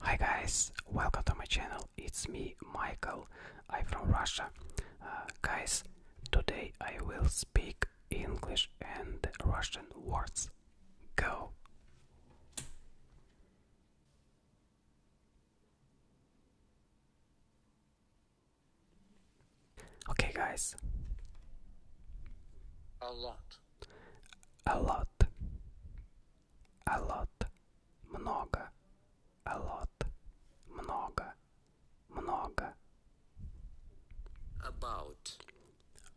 Hi guys, welcome to my channel. It's me, Michael. I'm from Russia. Uh, guys, today I will speak English and Russian words. Go! Okay, guys. A lot. A lot a lot, много, a lot, много, много. About.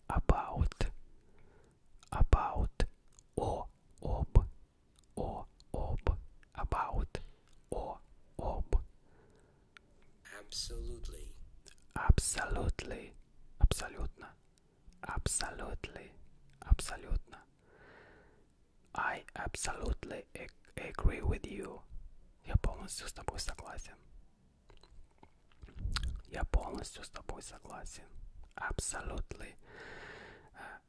About. About. О, об. О, об. About. О, об. Absolutely. Absolutely. Абсолютно. Absolutely, абсолютно. I absolutely agree with you. Я полностью с тобой согласен. Я полностью с тобой согласен. Absolutely.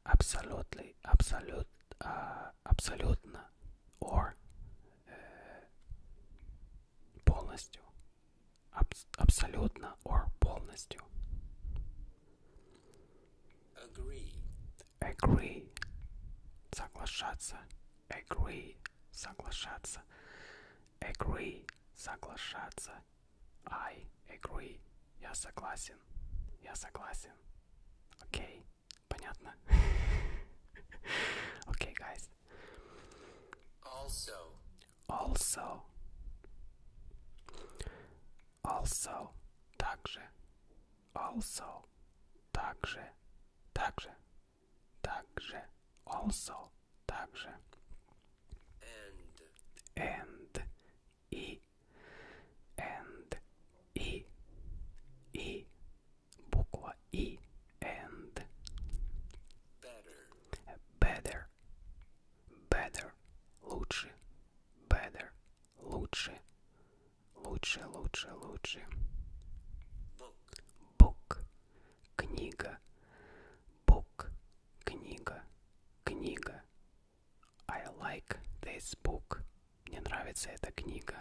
Absolutely. Absolute, uh, абсолютно. Or uh, полностью. Абс абсолютно or полностью. Agree. Agree. Соглашаться. Agree. Соглашаться. Agree. Соглашаться. I agree. Я согласен. Я согласен. Окей. Okay. Понятно? Окей, okay, guys. Also. Also. Also. Также. Also. Также. Также. Также. Also. Также. And. And. И. And. И. И. Буква И. And. Better. Better. better, лучше, better, лучше, лучше, лучше, лучше. Book, book книга, book, книга, книга. I like this book. Мне нравится эта книга.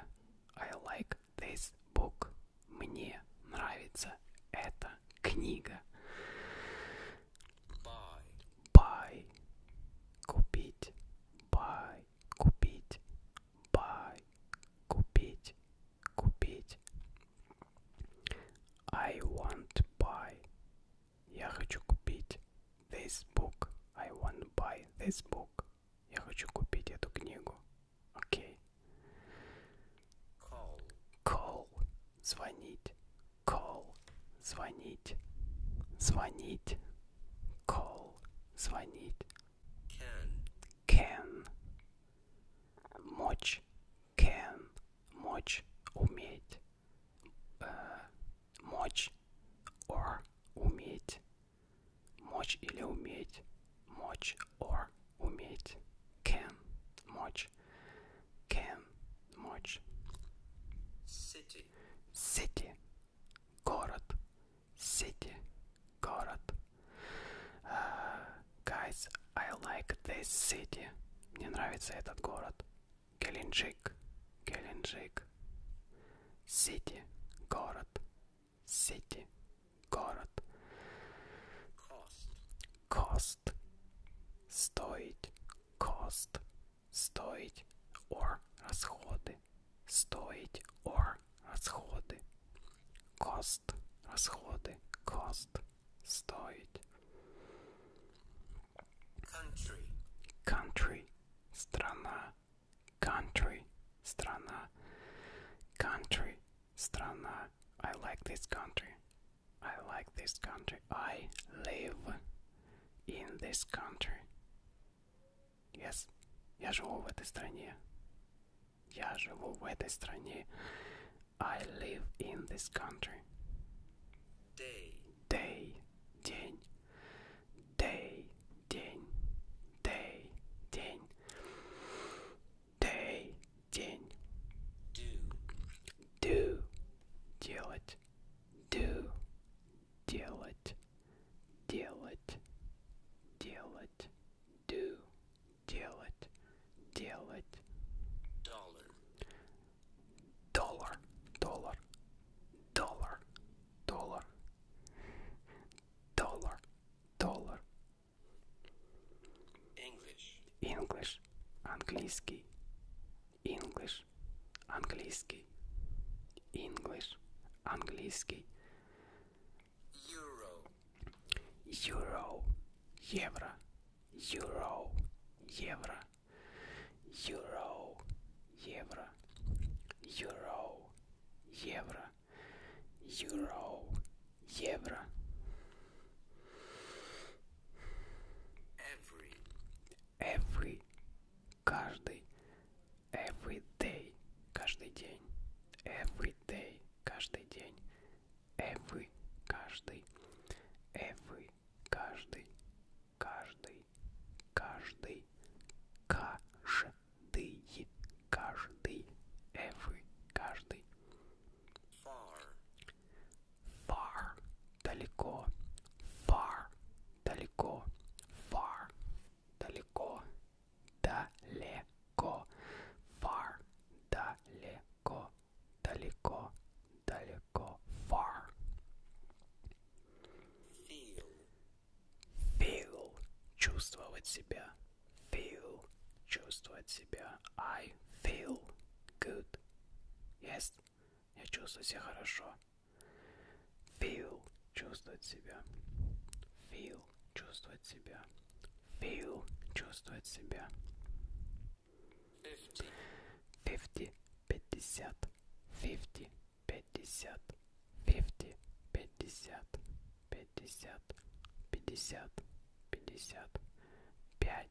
I like this book. Мне нравится эта книга. buy, buy, купить, buy, купить, buy, купить, купить. I want to buy. Я хочу купить this book. I want buy this book. Я хочу купить эту книгу. Okay. Call. Call. звонить, call, звонить, звонить, call, звонить. Can. Can. Мочь. Can. Мочь. Уметь. Э, мочь. Or. Уметь. Мочь или уметь. Мочь. Or. Уметь. Can. Мочь. Can. Мочь. City. City. Город. City. Город. Uh, guys, I like this city. Мне нравится этот город. Геленджик. Геленджик. City. Город. City. Город. Cost. cost, стоить, cost, стоить, or расходы, стоить, or расходы, cost, расходы, cost, стоить. Country, country, страна, country, страна, country, страна. I like this country. I like this country. I live in this country. Yes, я живу в этой стране. Я живу в этой стране. I live in this country. Day. Day. День. Day. День. Day. День. Day. День. Do. Do делать, do, делать, делать, делать, do, делать, делать. Dollar, доллар, доллар, доллар, доллар, доллар, доллар. English, English, английский. English, английский, English, английский. Euro, Euro, евро, Euro, евро, Euro, евро, Euro, евро, Euro, евро. Every. Каждый. Every day. Каждый день. Every day. Каждый день. Every. Каждый. Every. Каждый. Каждый. Каждый. Каждый. Каждый. Every. Каждый. Far. Far. Далеко. Far. Далеко. Far. Далеко. Далеко. Far. Далеко. Далеко. Далеко. Far. Feel. Feel. Чувствовать себя. Feel. Чувствовать себя. I feel good. Yes. Я чувствую себя хорошо. Feel – чувствовать себя. Feel – чувствовать себя. Feel – чувствовать себя. 50 – 50. 50 – 50. 50 – 50. 50 – 50. 50 – 5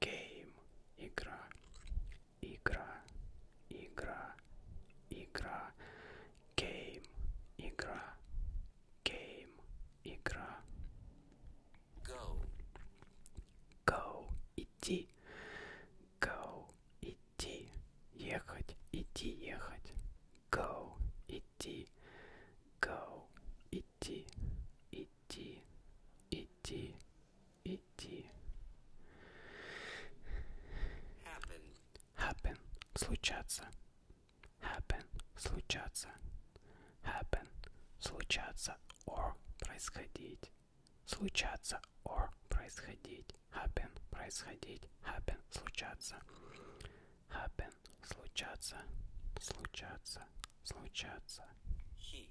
Game. Игра. Игра. Игра. Игра. Game. Игра. Game. Игра. Go. Go. Идти. Go. Идти. Ехать. Идти. Ехать. Go. Идти. Go. Идти. Идти. Идти идти. Happen. Happen. Случаться. Happen. Случаться. Happen. Случаться. Or. Происходить. Случаться. Or. Происходить. Happen. Происходить. Happen. Случаться. Happen. Случаться. Случаться. Случаться. He.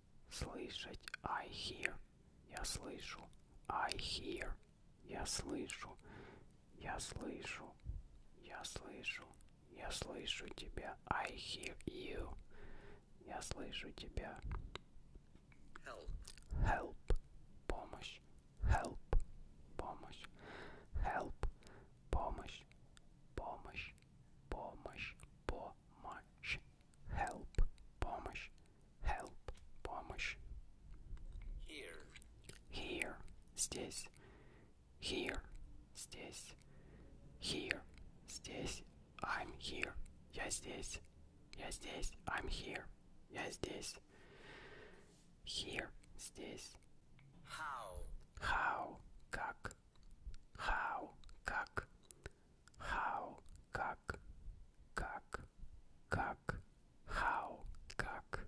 Слышать. I hear. Я слышу. I hear. Я слышу. Я слышу. Я слышу. Я слышу тебя. I hear you. Я слышу тебя. Help. Help. Помощь. Help. Помощь. Help. Помощь. Помощь. Помощь. Помощь. help, помощь, help, помощь. Here, here, здесь. Here, здесь. Here, здесь. I'm here, я здесь. Я здесь. I'm here, я здесь. Here, здесь. How, how, как. How, как how, как, как, как, how, как.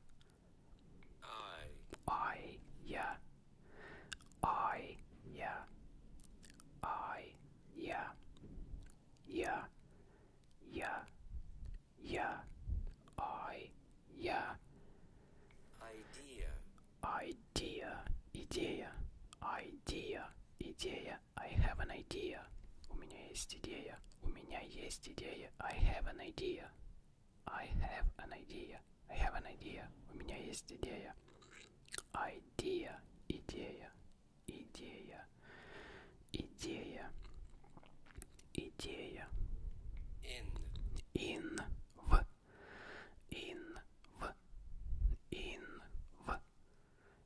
I, I, yeah. I, yeah. I, yeah. Yeah. Yeah. Yeah. I, yeah. Idea. Idea. Idea. Idea. Idea. идея. I have an idea. У меня есть идея. У меня есть идея. I have an idea. I have an idea. I have an idea. У меня есть идея. Idea. Идея. Идея. Идея. Идея. In. In. В. In. В. In. В.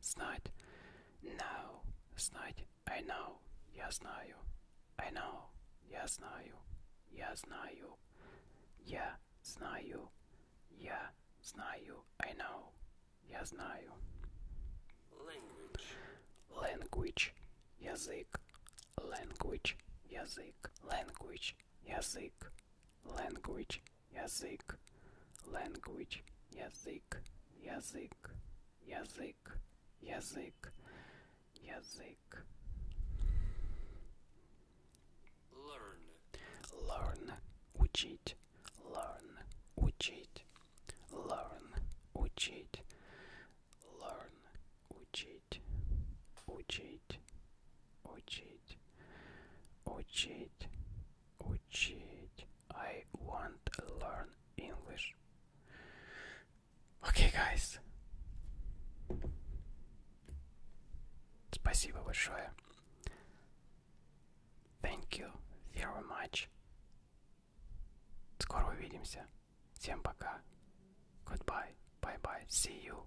Знать. Know. Знать. I know. Я знаю. I know. Я знаю. Я знаю. Я знаю. Я знаю. I know. Я знаю. Language. Language. Язык. Language. Язык. Language. Язык. Language язык, language, язык, язык, язык, язык, язык. Learn. Learn. Учить. Learn. Учить. Learn. Учить. Learn. Учить. Учить. Учить. Учить учить. I want to learn English. Okay, guys. Спасибо большое. Thank you very much. Скоро увидимся. Всем пока. you Bye bye. See you.